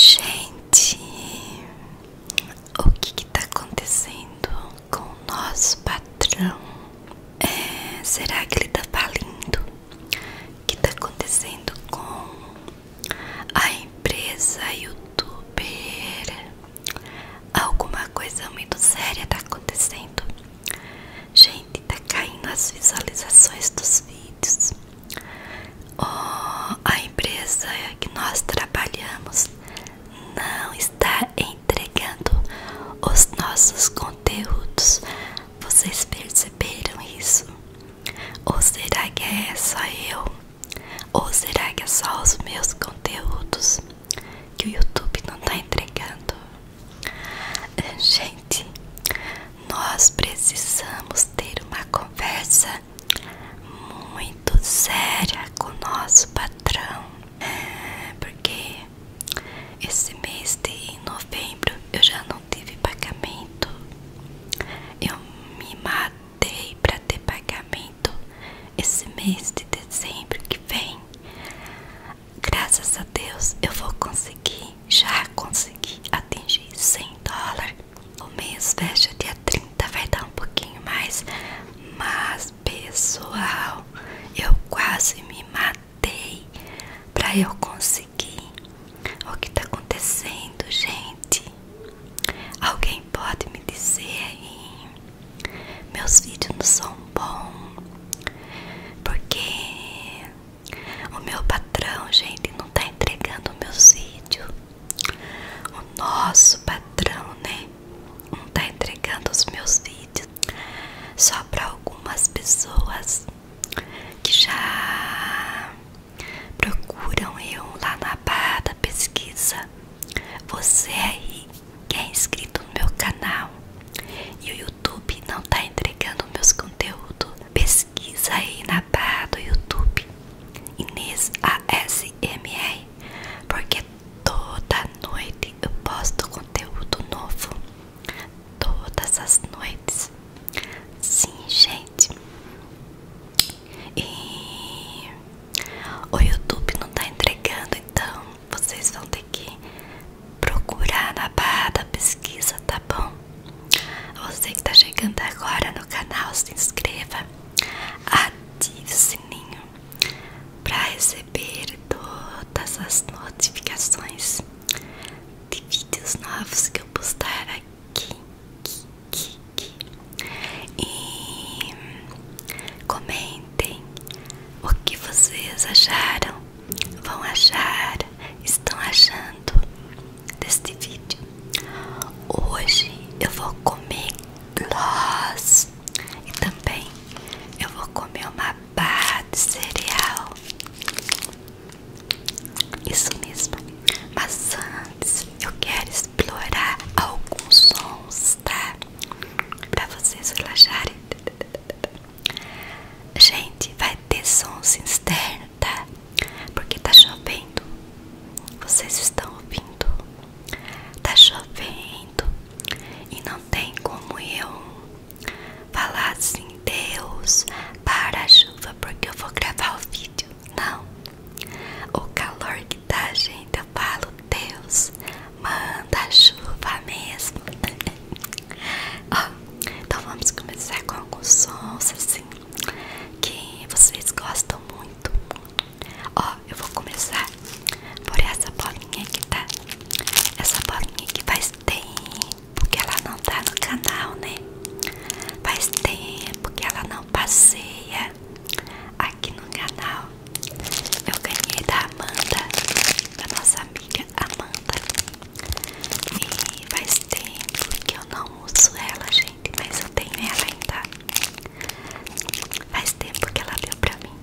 Gente, o que está acontecendo com o nosso patrão? É, será que ele tá falindo? O que está acontecendo com a empresa youtuber. Alguma coisa muito séria está acontecendo. Gente, está caindo as visualizações dos vídeos. Oh, a empresa que nós trabalhamos não está entregando os nossos conteúdos. Vocês perceberam isso? Ou será que é só eu? Ou será que é só os meus conteúdos que o YouTube não tá entregando? Gente, nós precisamos ter uma conversa muito séria com o nosso patrão, é, porque esse mês de novembro eu já não tive pagamento. Eu me mato adiantei para ter pagamento esse mês de dezembro que vem. Graças a Deus eu vou conseguir, já consegui atingir 100 dólares. O mês fecha dia 30, vai dar um pouquinho mais. Mas pessoal, eu quase me matei para eu conseguir. O que tá acontecendo, gente? Alguém pode me dizer aí, meus vídeos não são bons, porque o meu patrão, gente, não tá entregando meus vídeos. O nosso patrão, né? Não tá entregando os meus vídeos só para algumas pessoas que já Procuram eu lá na barra da pesquisa. Você aí é que é inscrito no meu canal e o YouTube não tá entregando meus conteúdos. Pesquisa aí na barra do YouTube Inês ASMR, porque toda noite eu posto conteúdo novo. Todas as noites Sim, gente. E o YouTube não tá entregando, então vocês vão ter que procurar na barra da pesquisa, tá bom? Você que tá chegando agora no canal, se inscreva, ative o sininho para receber todas as notificações de vídeos novos que eu postar aqui e comentem o que vocês acharam, vão achar, estão achando deste vídeo. Hoje eu vou comer gloss e também eu vou comer uma barra de cereal. Isso mesmo. Mas antes eu quero explorar alguns sons, tá? Pra vocês relaxarem. Gente, vai ter sons externos, tá? Porque tá chovendo. Vocês estão ouvindo? Tá chovendo. E não tem como eu falar sem assim, Deus, para a chuva, porque eu vou gravar o vídeo. Não. O calor que tá, gente, eu falo, Deus, manda chuva mesmo. Ó, então vamos começar com alguns sons assim que vocês gostam muito. Ó, eu vou começar por essa bolinha que tá. Essa bolinha que faz tempo porque ela não tá no canal, né? Faz tempo que ela não passeia aqui no canal. Eu ganhei da Amanda, da nossa amiga Amanda. E faz tempo que eu não uso ela, gente, mas eu tenho ela ainda. Faz tempo que ela deu pra mim.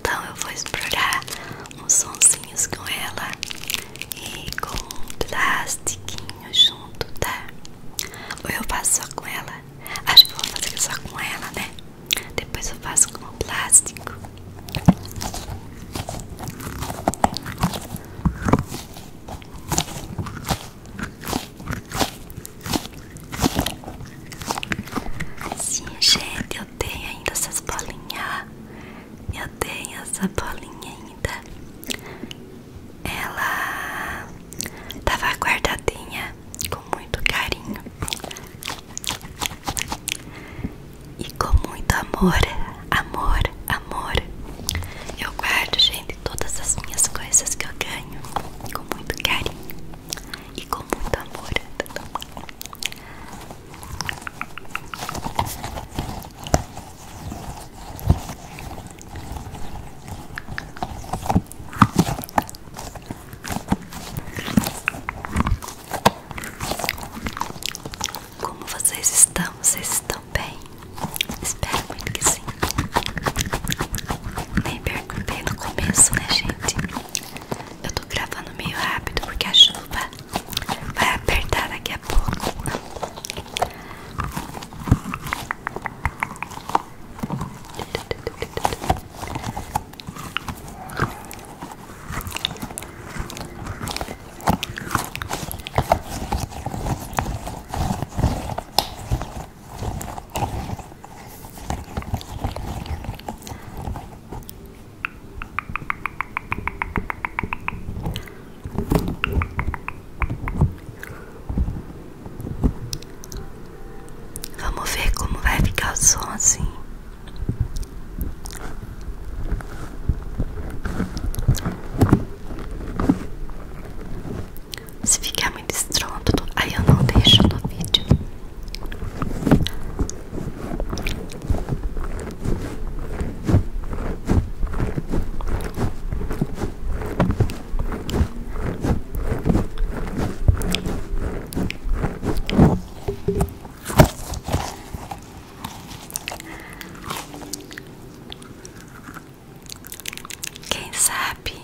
Então eu vou explorar uns sonzinhos com ela e com um plastiquinho junto, tá? Ou eu faço só com ela? Acho que vou fazer só com ela, né? Depois eu faço com o plástico. Sim, gente, eu tenho ainda essas bolinhas. Eu tenho essa bolinha ainda. Ela tava guardadinha com muito carinho e com muito amor, amor, amor. Eu guardo, gente, todas as minhas coisas que eu ganho com muito carinho e com muito amor. Como vocês estão? Vocês estão bem? Espero muito que sim. Nem perguntei no começo, né, gente? Eu tô gravando meio rápido porque a chuva Vai apertar daqui a pouco. Vai Vamos ver como vai ficar o som assim. Se ficar muito estronto, aí eu não deixo no vídeo. Quem sabe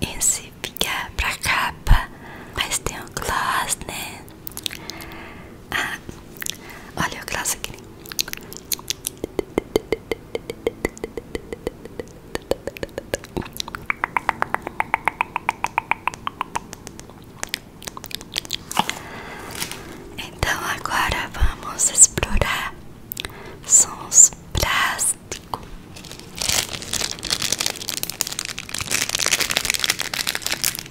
esse fica pra capa, mas tem um gloss, né? Ah, olha o Glass aqui. Então agora vamos explorar sons plásticos.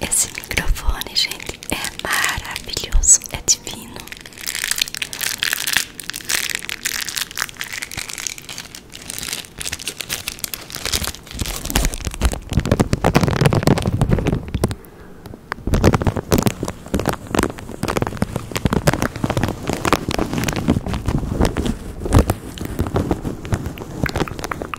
Esse microfone, gente, é maravilhoso, é divino.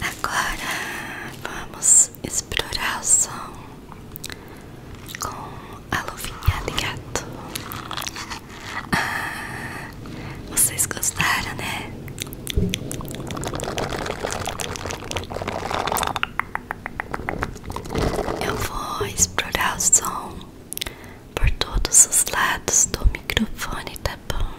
Agora vamos explorar o som com a luvinha de gato. Ah, vocês gostaram, né? Eu vou explorar o som por todos os lados do microfone, tá bom?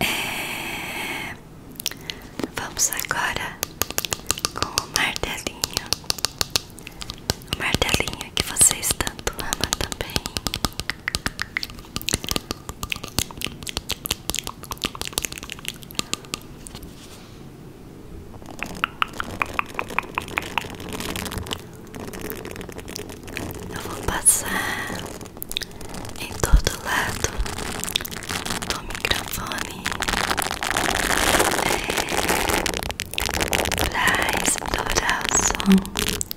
É... Vamos agora com o martelinho, martelinho que vocês tanto amam também. Eu vou passar em todo lado do microfone é, para explorar o som.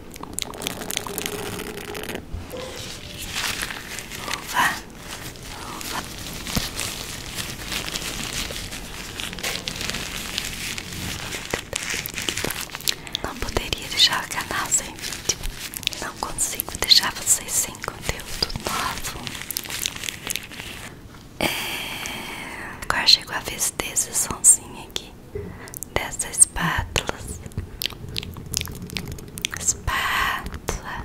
Uva, uva. Não poderia deixar o canal sem vídeo. Não consigo deixar vocês sem conteúdo novo. É... Agora chegou a vez desse sonzinho aqui dessa espátula, Espátula.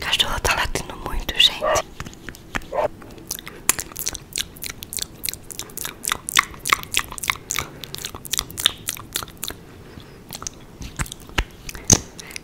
Cachorro tá latindo muito, gente.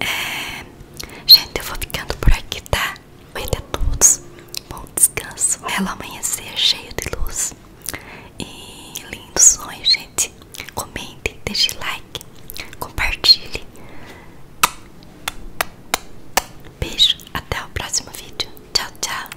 É, gente, eu vou ficando por aqui, tá? Obrigada a é todos. Bom descanso. Belo amanhecer cheio de luz. E lindos sonhos, gente. Comente, deixe like, compartilhe. Beijo, até o próximo vídeo. Tchau, tchau.